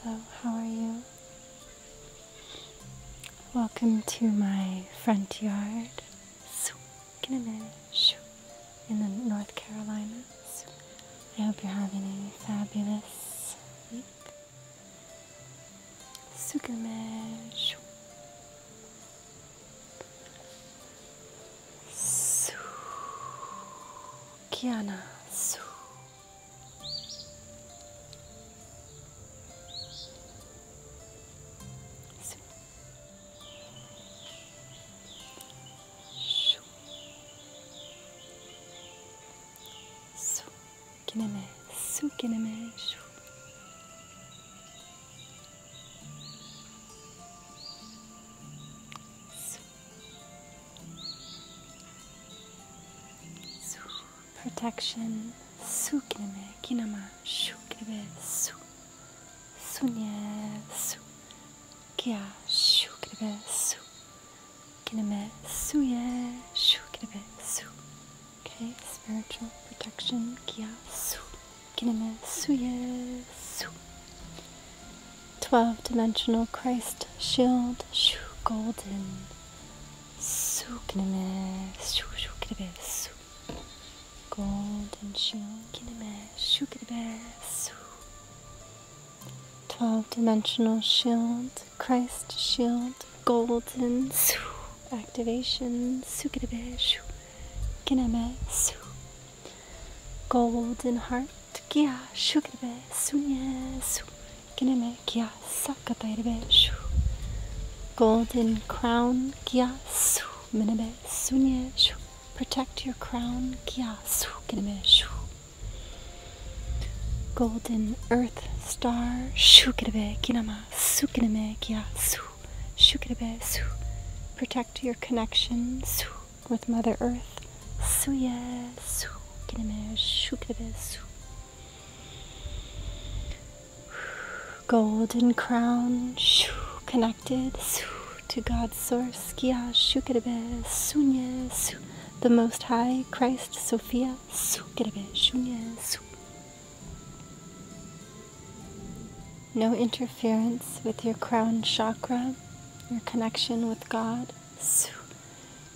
Hello, how are you? Welcome to my front yard in the North Carolinas. I hope you're having a fabulous week. mesh. Su. Kiana. Su. Su. Su. Su. Kineme. Su Su. Su. Su protection. Sukineme kinama shukribe su. Sunye su. Kya shukribe su. Kineme suye shukribe su. Okay, spiritual protection. Kya su. Kineme suye su. 12 dimensional Christ shield, shoo, golden. Golden shield, 12 dimensional shield, Christ shield, golden. Activation, sukadevish, kineme, su. Golden heart, kia sugar be, suye kia saka shu. Golden crown, kia su, minebe sunye shu. Protect your crown, kia su, kineme shu. Golden earth star, shukirebe kinama, sukineme kia su, shukirebe su. Protect your connections with Mother Earth. Golden crown connected to God's source. The Most High Christ Sophia. No interference with your crown chakra your connection with God.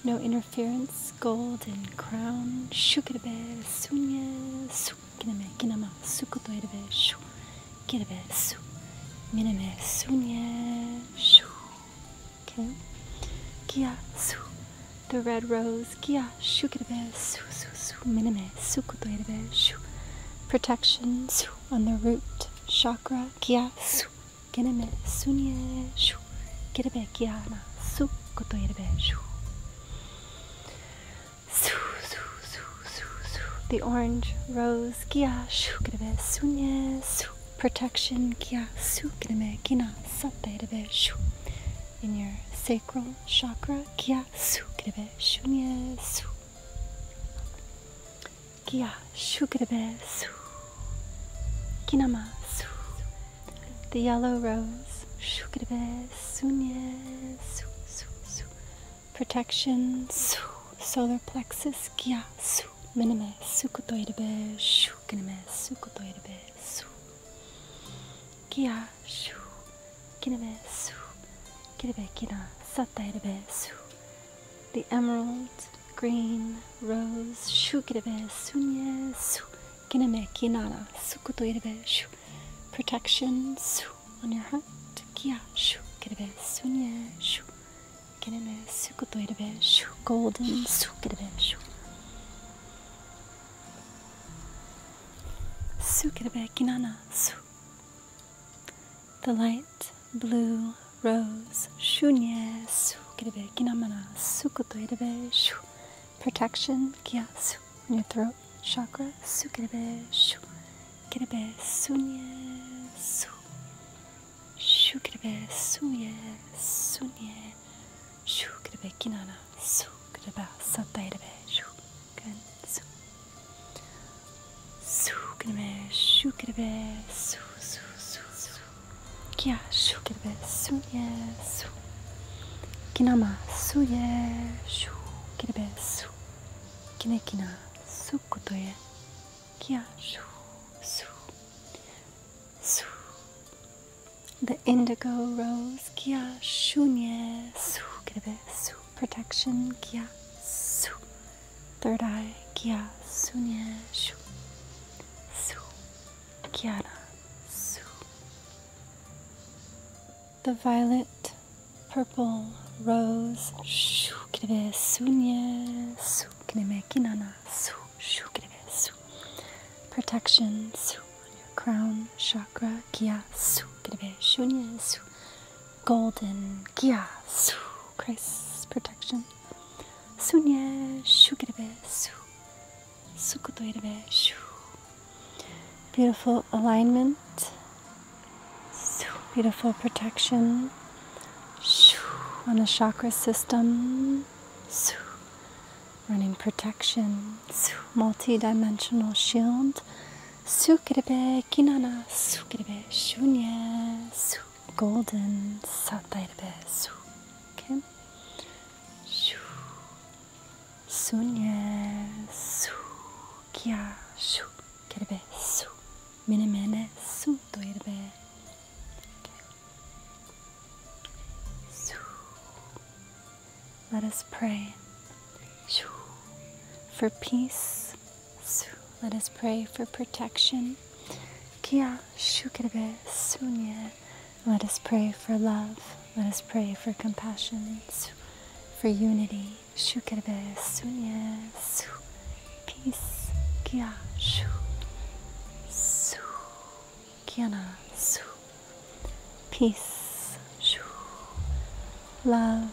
No interference, golden crown. Shukirabe, sunye, sukiname, kinama, sukotoirebe, shu, kirabe, su, miname, sunye, shu. Okay? Kia, su, the red rose, kia, shukirabe, su, su, su, miname, sukotoirebe, shu. Protection, su, on the root chakra kiya su geneme sunye shu gerebe kya na su koto yerebe shu su su su su su the orange rose kya shu gerebe sunye su protection kiya su gerebe kina sata yerebe su. in your sacral chakra kiya su gerebe shunye su Kia shugrabes. Kinamasu. The yellow rose. Shugrabes. Protection. Solar plexus. Kia su. Miname sukutoirebe. Shukiname sukutoirebe. Su. Kia shu. Kiname su. Kirebe kina. Satairebe su the emerald, green, rose, shukirebe, sunye, su, kineme, kinana, sukutoirebe, shu, protection, su, on your heart, kia, shukirebe, sunye, shu, kineme, sukutoirebe, shu, golden, sukirebe, shu. Sukirebe, kinana, su. The light blue rose. Shunye su kirebe kinamana sukoto irebe shu. Protection kya su in your throat chakra. Su kirebe shu. Kirebe sunye su. Shu kirebe sunye sunye. Shu su kinana su kirebe sata irebe shu. Good su. Sukrebe, şukrebe, su su su su. Kia şukrebe, suye su. Kinama suye, şukrebe su. Kine kina sukutoye. Kia şu su su. The indigo rose, kia şunye sukrebe su protection kya su third eye kya su the violet purple rose shu su kinebe protection crown chakra kya su kinebe shunye golden Gia Su Christ's protection. Sunye Shukirebe Su Sukutoirebe Beautiful alignment. beautiful protection. Shu on the chakra system. Su running protection. multi-dimensional shield. Sukrebe kinana sukrebe shunya su golden satirebe su kim shu sunya su kya shu kerebe su mene mene su toirebe su let us pray for peace let us pray for protection. Kia Let us pray for love. Let us pray for compassion, for unity. Peace. Kia Peace. Love.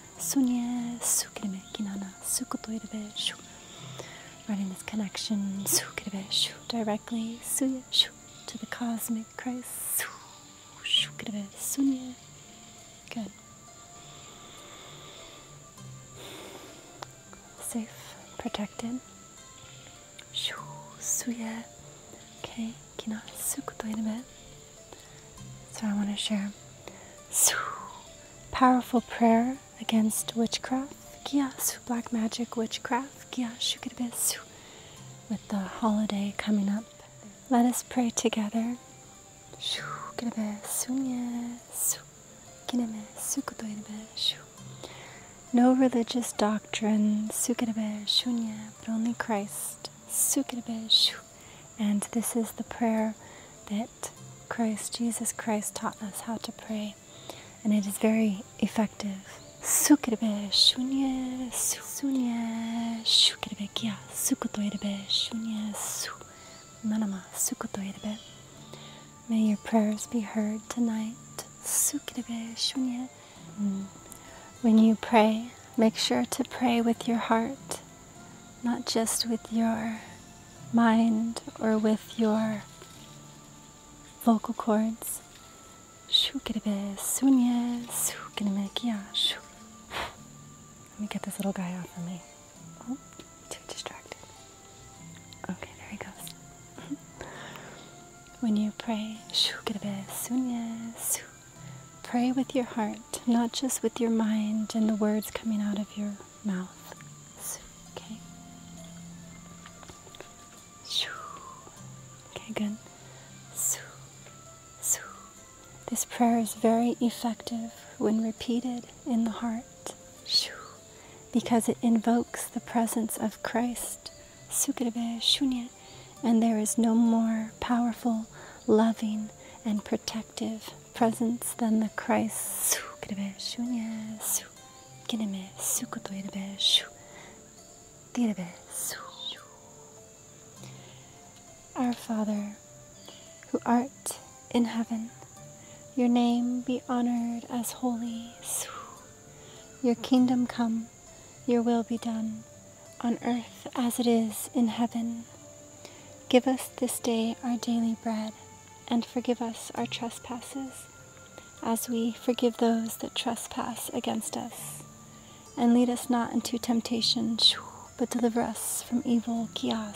Sunye sukrime kinana sukotoirebe shu. Running this connection sukrebe shu directly suye to the cosmic Christ su sukrebe sunye. Good. Safe, protected. Shu suye. Okay, kina sukotoirebe. So I want to share su powerful prayer against witchcraft, Kiasu, black magic, witchcraft, Kiashu Kirbesu, with the holiday coming up. Let us pray together. No religious doctrine, but only Christ. And this is the prayer that Christ, Jesus Christ taught us how to pray, and it is very effective. Sukirbe shunye su sunye Kia kya sukutoirbe shunye su manama sukutoirbe. May your prayers be heard tonight. Sukirbe shunye. Mm. When you pray, make sure to pray with your heart, not just with your mind or with your vocal cords. Let me get this little guy off of me. Oh, too distracted. Okay, there he goes. when you pray, pray with your heart, not just with your mind and the words coming out of your mouth okay? Shoo. Okay, good. Shoo. Shoo. This prayer is very effective when repeated in the heart Shoo. because it invokes the presence of Christ. Sukrave Shunya. And there is no more powerful, loving, and protective presence than the Christ. Our Father, who art in heaven, your name be honored as holy. Your kingdom come, your will be done, on earth as it is in heaven. Give us this day our daily bread, and forgive us our trespasses, as we forgive those that trespass against us. And lead us not into temptation, but deliver us from evil. For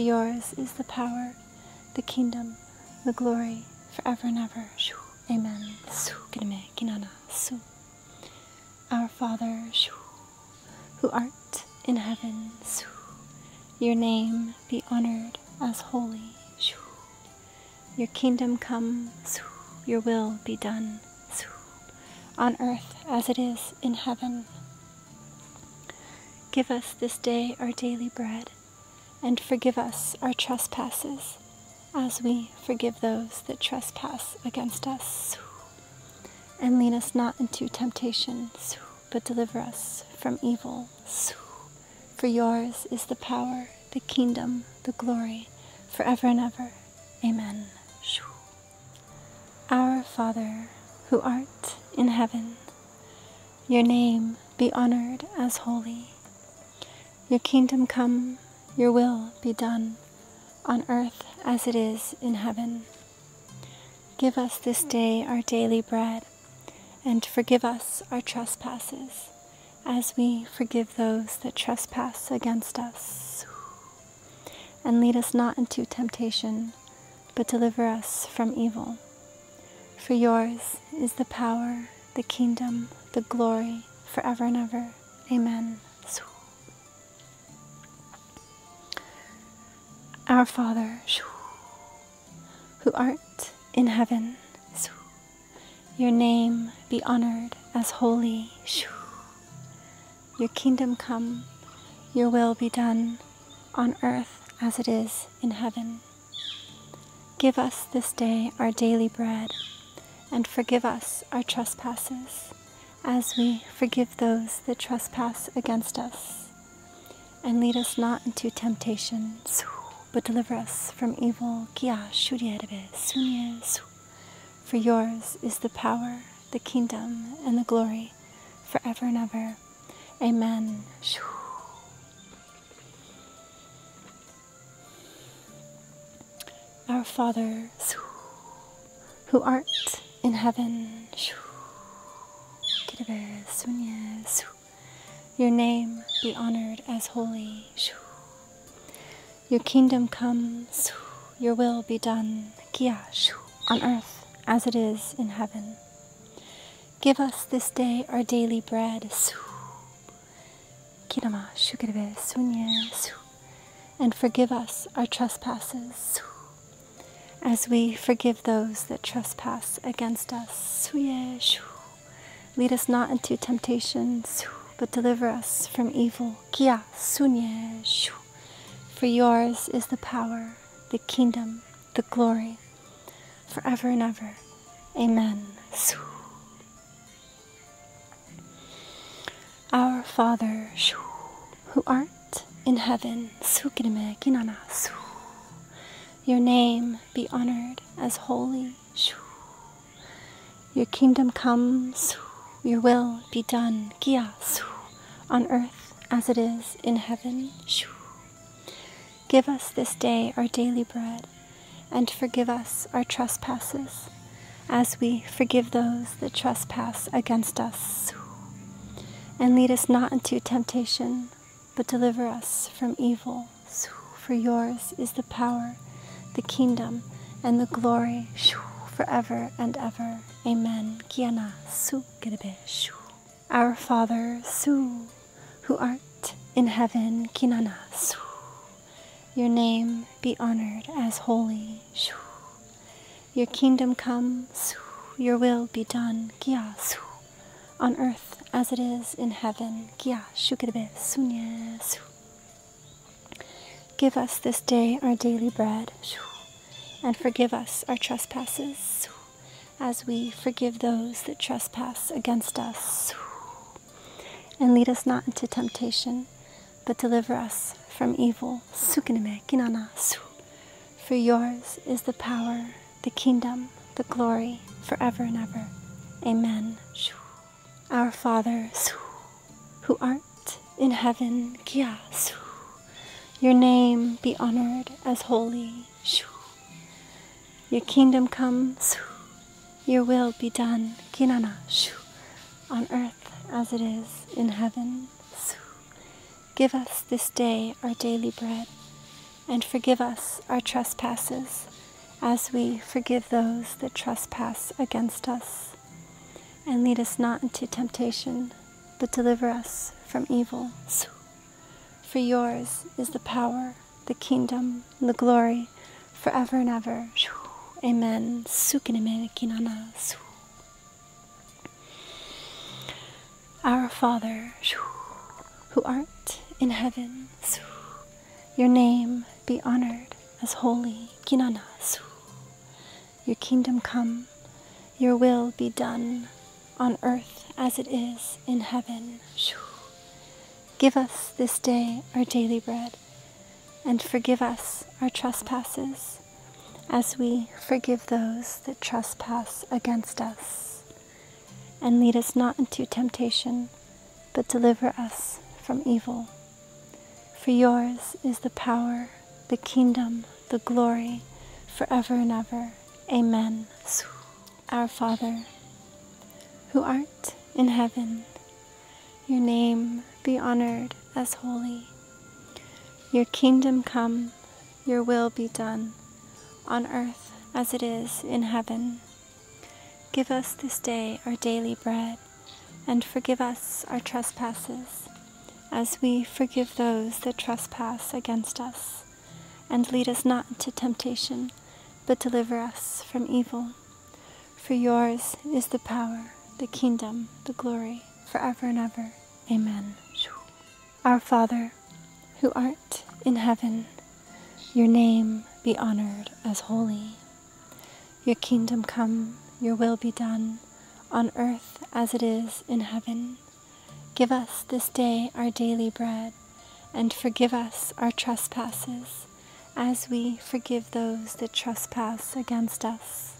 yours is the power, the kingdom, the glory, forever and ever. Amen. Our Father, who art in heaven. Your name be honored as holy. Your kingdom come, your will be done, on earth as it is in heaven. Give us this day our daily bread, and forgive us our trespasses, as we forgive those that trespass against us. And lead us not into temptation, but deliver us from evil. For yours is the power, the kingdom, the glory, forever and ever. Amen. Our Father, who art in heaven, your name be honored as holy. Your kingdom come, your will be done on earth as it is in heaven. Give us this day our daily bread, and forgive us our trespasses, as we forgive those that trespass against us. And lead us not into temptation, but deliver us from evil. For yours is the power, the kingdom, the glory, forever and ever. Amen. Our Father, who art in heaven, your name be honored as holy. Your kingdom come, your will be done on earth as it is in heaven. Give us this day our daily bread, and forgive us our trespasses as we forgive those that trespass against us. And lead us not into temptation, but deliver us from evil. For yours is the power, the kingdom, and the glory forever and ever. Amen. Our Father, who art in heaven, your name be honored as holy. Your kingdom come, your will be done, on earth as it is in heaven. Give us this day our daily bread, Kirama shukreve And forgive us our trespasses As we forgive those that trespass against us suye Lead us not into temptation But deliver us from evil kia sunye For yours is the power, the kingdom, the glory, forever and ever. Amen. Our Father, who art in heaven, your name be honored as holy. Your kingdom comes. your will be done, on earth as it is in heaven. Give us this day our daily bread and forgive us our trespasses, as we forgive those that trespass against us. And lead us not into temptation, but deliver us from evil. For yours is the power, the kingdom, and the glory forever and ever. Amen. Kiana su shu. Our Father, su, who art in heaven, kinana your name be honored as holy. Your kingdom comes. Your will be done. On earth as it is in heaven. Give us this day our daily bread. And forgive us our trespasses as we forgive those that trespass against us. And lead us not into temptation, but deliver us from evil. Sukiname kinana su. For yours is the power, the kingdom, the glory, forever and ever. Amen. Our Father, who art in heaven, your name be honored as holy. Your kingdom comes. Your will be done, Kinana, on earth as it is in heaven. Give us this day our daily bread, and forgive us our trespasses, as we forgive those that trespass against us. And lead us not into temptation, but deliver us from evil. For yours is the power, the kingdom, the glory forever and ever. Amen. Our Father, who art in heaven, your name be honored as holy. Your kingdom come, your will be done on earth as it is in heaven. Give us this day our daily bread and forgive us our trespasses, as we forgive those that trespass against us. And lead us not into temptation, but deliver us from evil. For yours is the power, the kingdom, the glory, forever and ever. Amen. Our Father, who art in heaven, your name be honored as holy. Your kingdom come, your will be done, on earth as it is in heaven. Give us this day our daily bread, and forgive us our trespasses, as we forgive those that trespass against us. And lead us not into temptation, but deliver us from evil. For yours is the power, the kingdom, the glory, forever and ever. Amen. Our Father, who art in heaven, your name be honored as holy. Your kingdom come, your will be done, on earth as it is in heaven. Give us this day our daily bread, and forgive us our trespasses as we forgive those that trespass against us.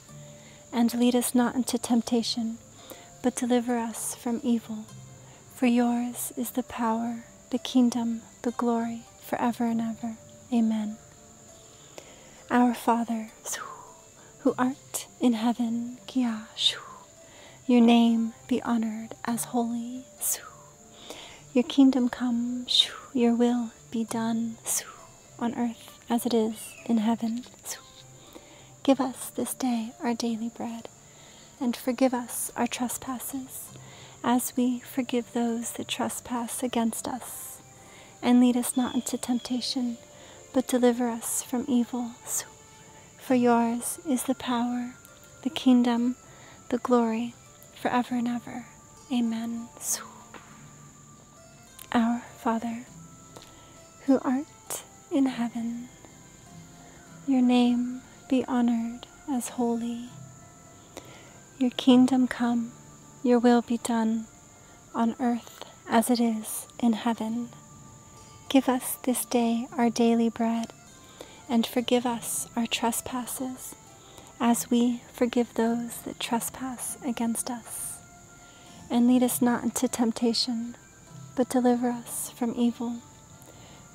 And lead us not into temptation, but deliver us from evil. For yours is the power, the kingdom, the glory, for ever and ever. Amen. Our Father, who art in heaven, your name be honored as holy. Your kingdom come, your will be done on earth as it is in heaven. Give us this day our daily bread, and forgive us our trespasses, as we forgive those that trespass against us. And lead us not into temptation, but deliver us from evil. For yours is the power, the kingdom, the glory, forever and ever. Amen. Our Father, who art in heaven, your name be honored as holy. Your kingdom come, your will be done, on earth as it is in heaven. Give us this day our daily bread, and forgive us our trespasses as we forgive those that trespass against us. And lead us not into temptation, but deliver us from evil.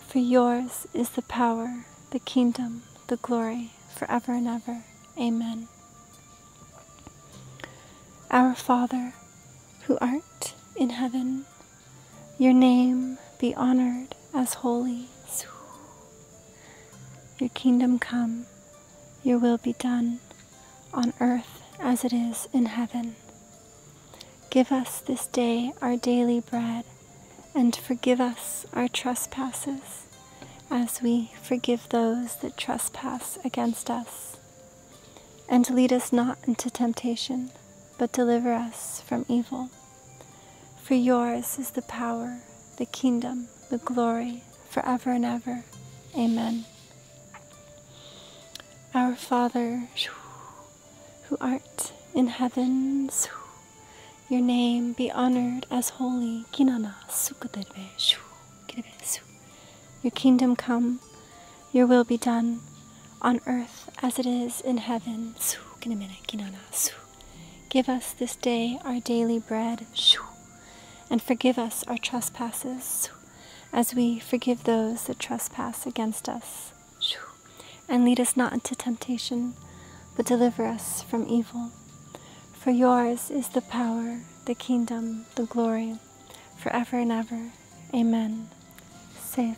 For yours is the power, the kingdom, the glory, forever and ever. Amen. Our Father, who art in heaven, your name be honored as holy. Your kingdom come, your will be done, on earth as it is in heaven. Give us this day our daily bread, and forgive us our trespasses, as we forgive those that trespass against us. And lead us not into temptation, but deliver us from evil. For yours is the power, the kingdom, the glory, forever and ever. Amen. Our Father, who art in heaven, your name be honored as holy. Your kingdom come, your will be done, on earth as it is in heaven. Give us this day our daily bread, and forgive us our trespasses, as we forgive those that trespass against us. And lead us not into temptation, but deliver us from evil. For yours is the power, the kingdom, the glory, forever and ever. Amen. Safe.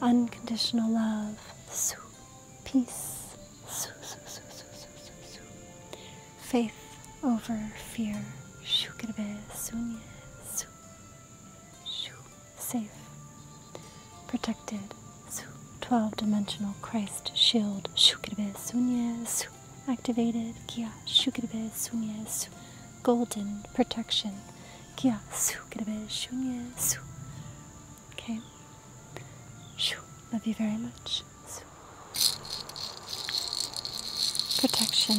Unconditional love. Peace. Faith over fear. Shu kirbe Safe. Protected. 12 dimensional Christ shield. Shu kirbe Activated. Kia. Shu kirbe golden protection. Okay. Love you very much. Protection.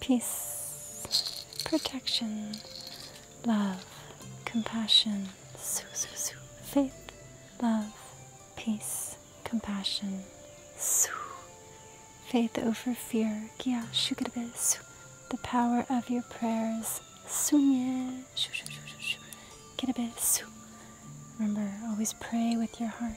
Peace, protection, love, compassion, faith, love, peace compassion. Faith over fear. The power of your prayers. Remember, always pray with your heart.